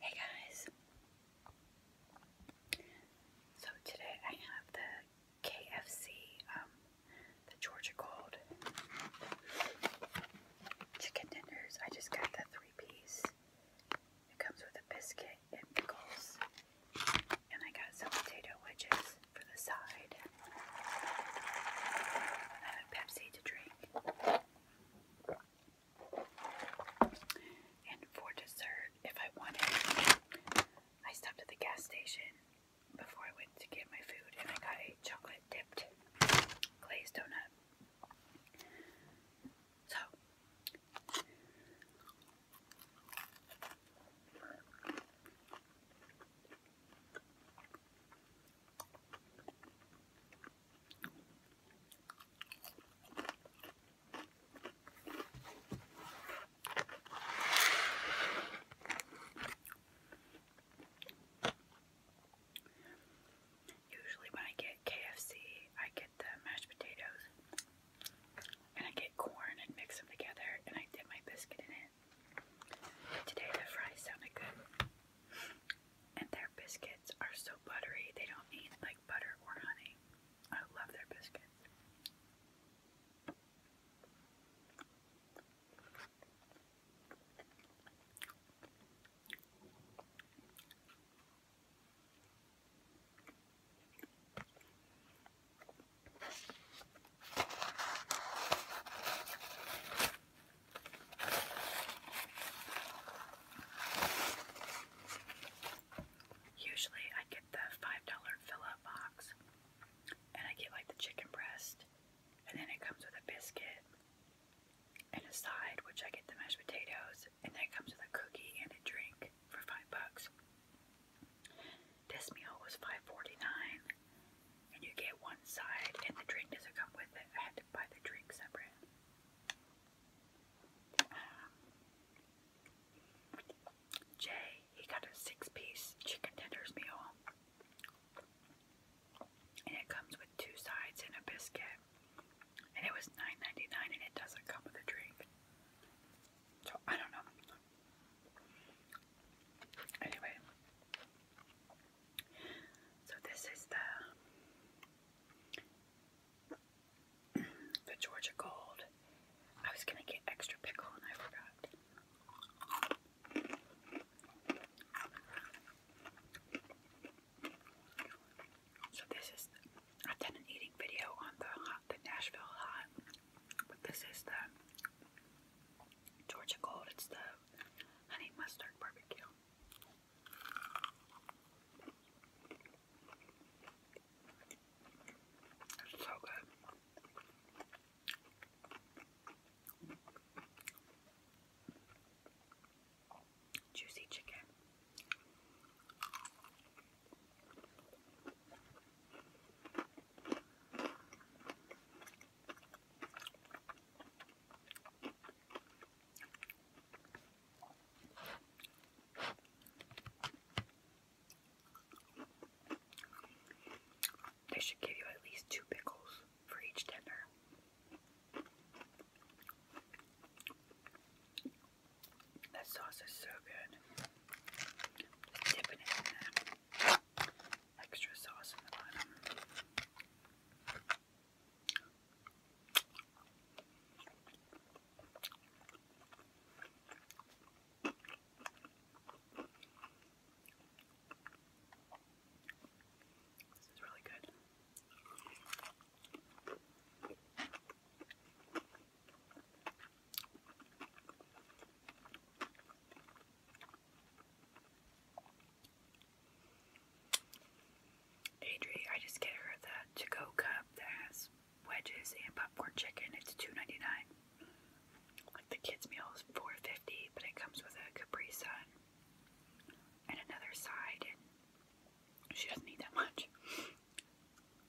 Hey guys! So today I have the KFC, um, the Georgia Gold chicken tenders. I just got the three piece. It comes with a biscuit and pickles. And I got some potato wedges for the side. I have a Pepsi to drink. And for dessert, if I wanted, I stopped at the gas station before I went to get my food and I got a chocolate dipped glazed donut. So, Usually, when I get KFC, I get the mashed potatoes and I get corn and mix them together, and I dip my biscuit in it in. Today the fries sounded good. And their biscuits are so buttery, they don't need like butter or honey. I love their biscuits. Usually I get the $5 fill-up box and I get like the chicken breast and then it comes with a biscuit and a side which I get the mashed potatoes and then it comes with a cookie and a drink for five bucks. This meal was $5.49, and you get one side, and the drink doesn't come with it. I had to buy the drink separate. Um, Jay, he got a six-piece chicken tenders meal, and it comes with two sides and a biscuit. And it was $9.99, and it doesn't come with a drink. So I don't know. Anyway, so this is the Georgia Gold. I was gonna get extra pickle and I forgot. So this is I've an eating video on the the Nashville hot, but this is the Georgia Gold. It's the honey mustard barbecue. so good. Juicy chicken. They should give you at least two pickles for each tender. That sauce is so good. dipping it in extra sauce in the bottom. This is really good. Adri, I just get her the to-go cup that has wedges and popcorn chicken. It's $2.99. Like the kids' meal is 4 but it comes with a Capri Sun and another side, she doesn't need that much. I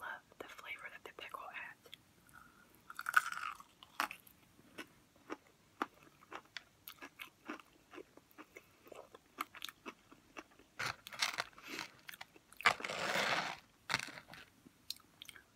love the flavor that the pickle adds.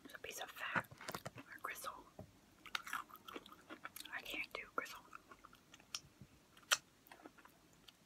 There's a piece of fat or gristle. I can't do gristle.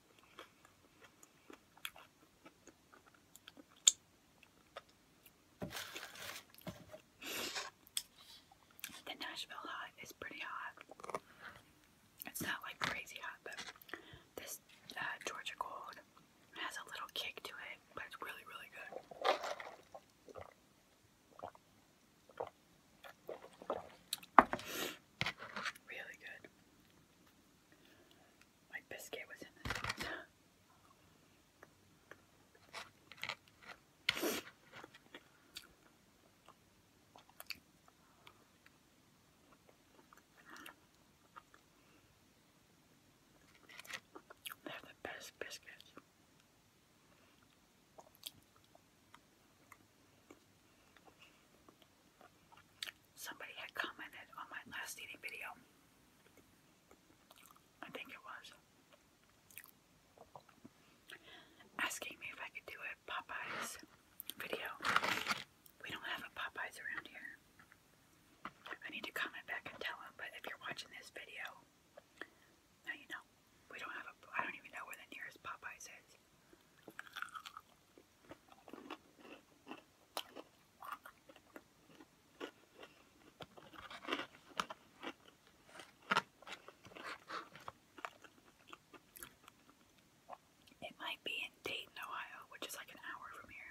The Nashville hot is pretty hot. It's not like crazy hot, but this uh, Georgia cold has a little kick to it, but it's really, really good. Really good. My biscuit was in this They're the best biscuits. Somebody had commented on my last eating video. I think it was. Asking me if I could do a Popeyes video. We don't have a Popeyes around here. I need to comment back and tell him, but if you're watching this video, now know. We don't have a. I don't even know where the nearest Popeyes is. It might be in Dayton, Ohio, which is like an hour from here.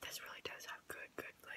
This really does have good, good flavor.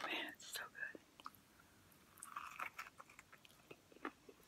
Man, it's so good.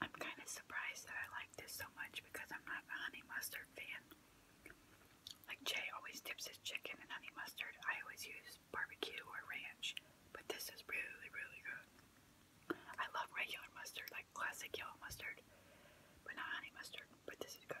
I'm kind of surprised that I like this so much because I'm not a honey mustard fan. Like Jay always dips his chicken in honey mustard, I always use barbecue or ranch, but this is really, really good. I love regular mustard, like classic yellow mustard, but not honey mustard, but this is good.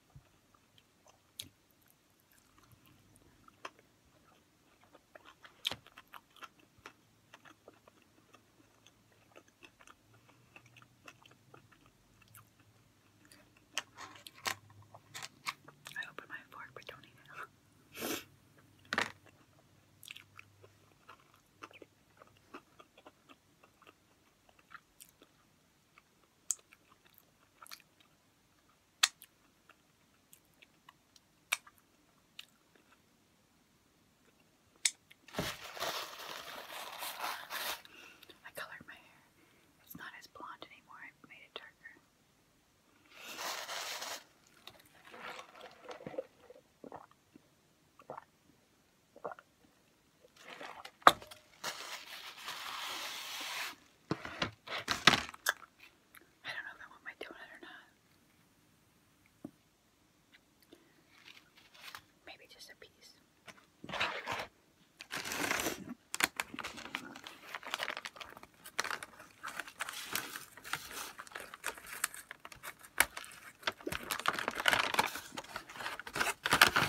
I open my fork, but don't eat it. I colored my hair. It's not as blonde anymore. I made it darker. I don't know if I want my donut or not. Maybe just a piece sorry. sorry, sorry,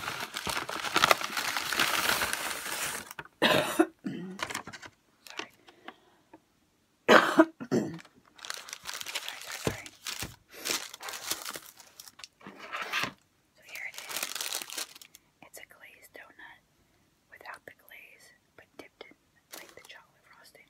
so here it is. It's a glazed donut without the glaze, but dipped in like the chocolate frosting.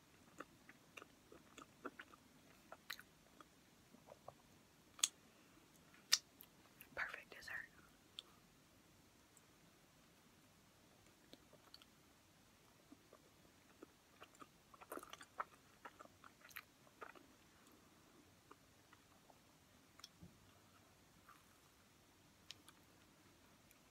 Perfect dessert.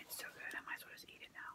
It's so good, I might as well just eat it now.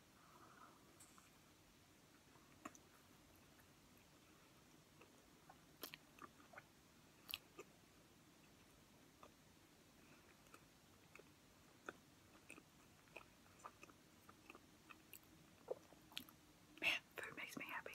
Man, food makes me happy.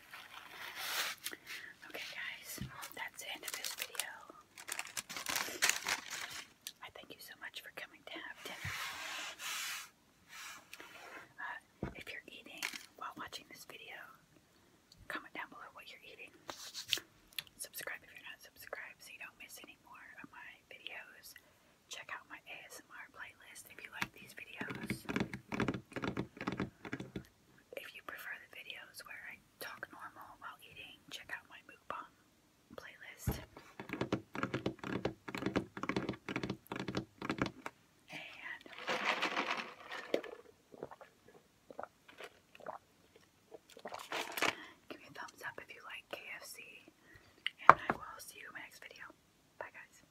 Okay, guys, that's the end of this video. I thank you so much for coming to have dinner. Uh, if you're eating while watching this video, comment down below what you're eating. Subscribe if you're not subscribed so you don't miss any more of my videos. Check out my ASMR playlist if you like these videos. If you prefer the videos where I talk normal while eating, check out my mukbang playlist. And give me a thumbs up if you like KFC. And I will see you in my next video. Bye, guys.